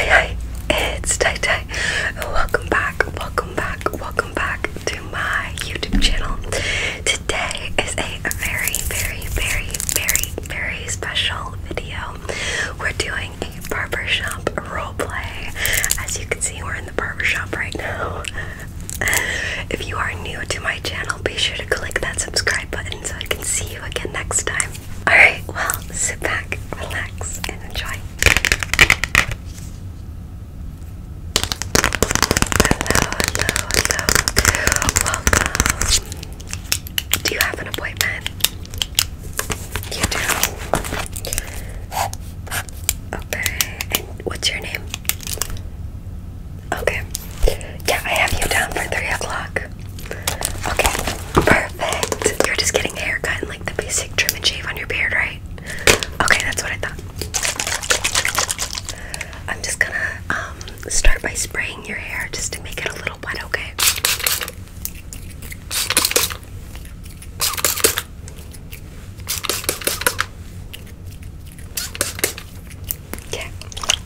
Hi hi, it's Tai Welcome back, welcome back, welcome back to my YouTube channel. Today is a very, very, very, very, very special video we're doing a barber shop role play. As you can see, we're in the barber shop right now. if you are new to my channel, be sure to click that subscribe button so I can see you again next time. Alright, well, sit back, relax, and enjoy. Hello, hello, hello. Welcome. Do you have an appointment? You do. Okay. what's your name? Okay. Yeah, I have you down for three o'clock. Okay. Perfect. You're just getting a haircut and like the basic trim and shave on your beard, right? Okay, that's what I thought. I'm just gonna um start by spraying your hair just to make it a little wet, okay? Okay,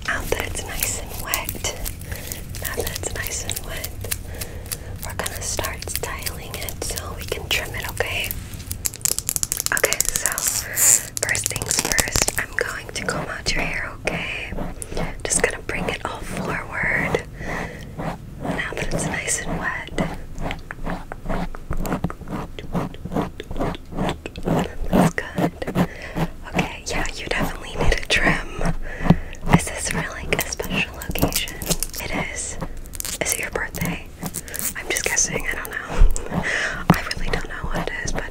now that it's nice and wet, now that it's nice and wet, we're gonna start styling it so we can trim it, okay? Okay, so first things first, I'm going to comb out your hair, okay? Just gonna bring it all forward now that it's nice and wet. That's good. Okay, yeah, you definitely need a trim. Is this for like a special occasion? It is. Is it your birthday? I'm just guessing, I don't know. I really don't know what it is, but.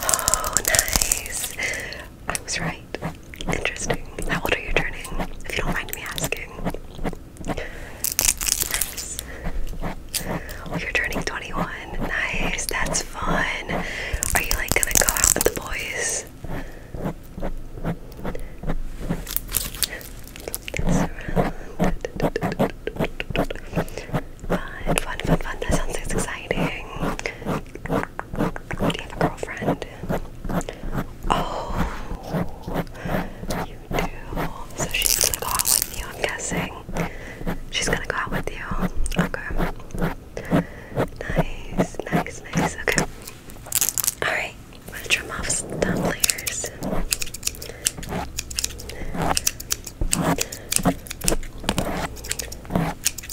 Oh, nice. I was right. Interesting. How old are you turning? If you don't mind me asking. Nice. you're turning 21. Nice. That's fun. Are you like gonna go out with the boys? Fun, fun, fun, fun. That sounds exciting. Do you have a girlfriend? Oh, you do. So she's gonna go out with you, I'm guessing. She's gonna go out with you. Okay. Nice, nice, nice. Okay. Alright, I'm gonna trim off some thumb layers.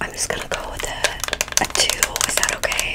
I'm just gonna go with a, a two. Is that okay?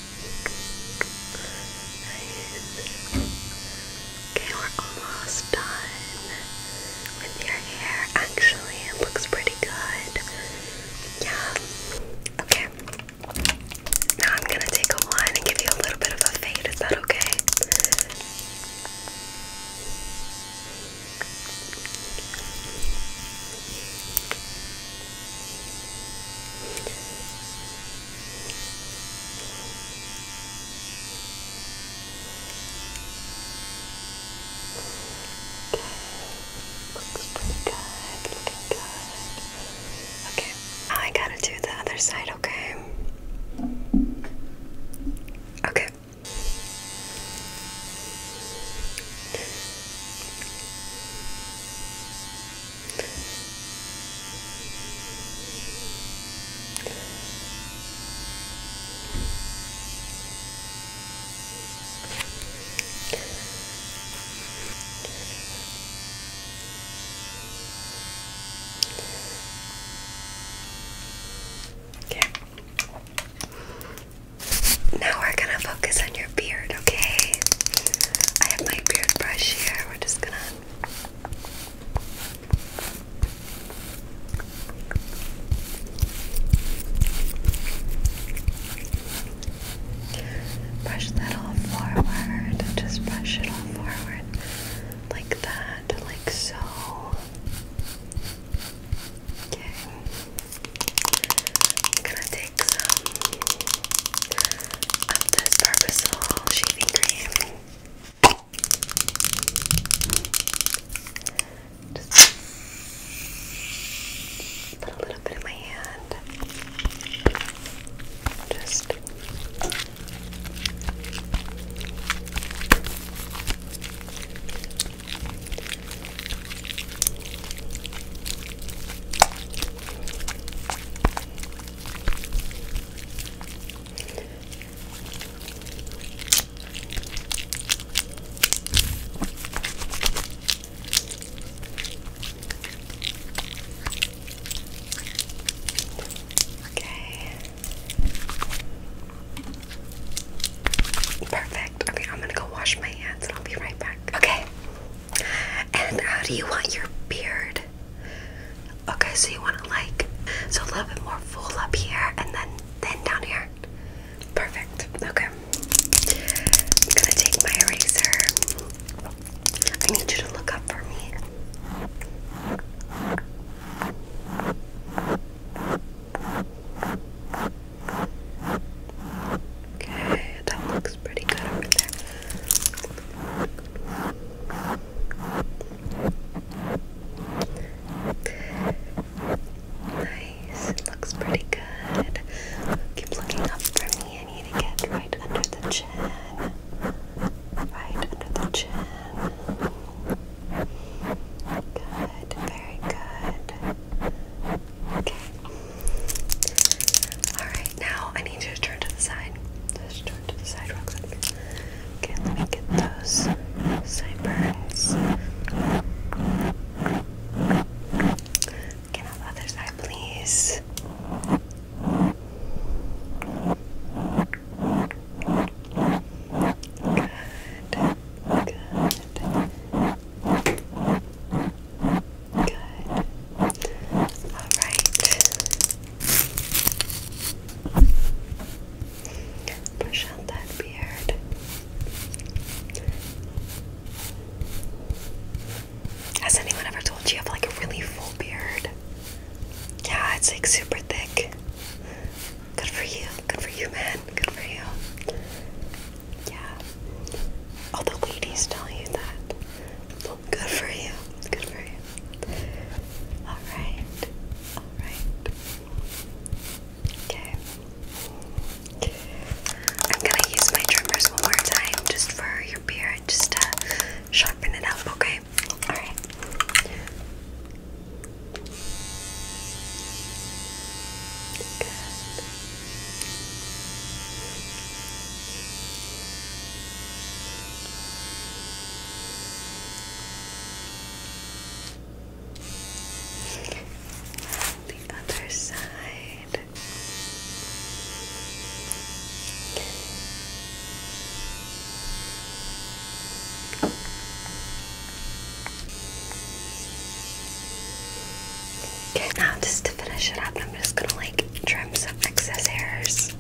Okay, we're almost done with your hair. Actually, it looks pretty good. Yeah. Okay. Now I'm gonna take a line and give you a little bit of a fade. Is that Okay. Looks pretty good, looking good. Okay, I gotta do the other side, okay? Okay. Okay. Now we're gonna focus on your beard, okay? I have my beard brush here. We're just gonna. Brush that all forward. Just brush it all forward. Like that. Like so. Okay like some of this purposeful shaving cream. Just put a little bit in my hand. Just Okay. Perfect. Okay, I'm gonna go wash my hands and I'll be right back. Okay. And how do you want your beard? Okay, so you want to like so a little bit more full up here and then then down here. Perfect. Okay. I'm gonna take my eraser. I need you to look up for me. Okay, that looks looks pretty good over there. Nice, looks pretty good. Keep looking up for me. I need to get right under the chin. Right under the chin. Good, very good. Okay. Alright, now I need you to turn to the side. turn to the side, Roxanne. Okay, let me get those sideburns. Can I have other side, please? Good. Good. Good. All right. Push out that beard. Has anyone ever told you you have like a really full beard? Yeah, it's like super thick. Good for you. Good for you, man. Good for you. Yeah. All the ladies tell you that. good for you. Good for you. Alright. Alright. Okay. I'm gonna use my trimmers one more time just for your beard, just to sharpen it up, okay? Alright. Good. The other side. Okay. Okay, now just to finish it up, I'm just gonna like trim some excess hairs.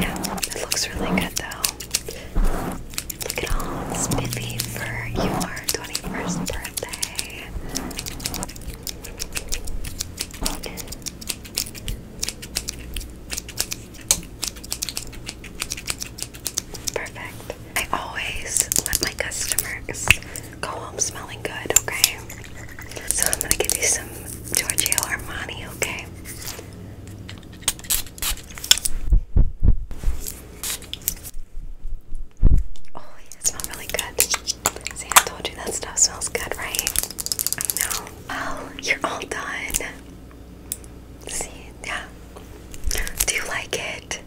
Yeah, it looks really good though. Look at all spiffy for your 21st birthday. Perfect. I always let my customers go home smelling good, okay? So I'm gonna give you some Giorgio Armani, okay? Oh, yeah, it really good. See, I told you that stuff smells good, right? I know. Oh, you're all done. See, yeah. Do you like it?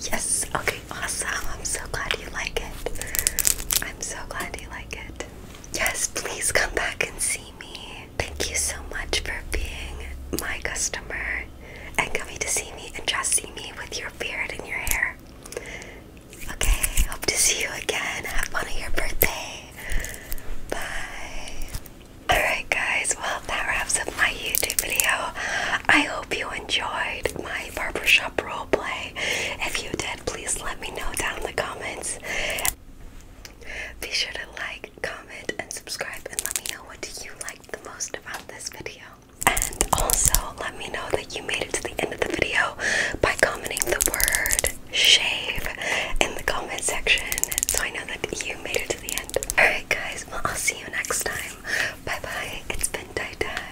Yes. Okay, awesome. I'm so glad you like it. I'm so glad you like it. Yes, please come back and see me. Thank you so much for being my customer and coming to see me and just see me with your beard and your hair. Okay, hope to see you again. Have fun on your birthday. Bye. Alright, guys, well, that wraps up my YouTube video. I hope you enjoyed my barbershop roleplay. If you did, please let me know down in the comments. Be sure to like, comment, and subscribe, and let me know what do you like the most about this video. And also, let me know that you made it to the end of the video by commenting the word shave in the comment section so I know that you made it to the end. Alright, guys, well, I'll see you next time. Bye bye. It's been Dai Dai.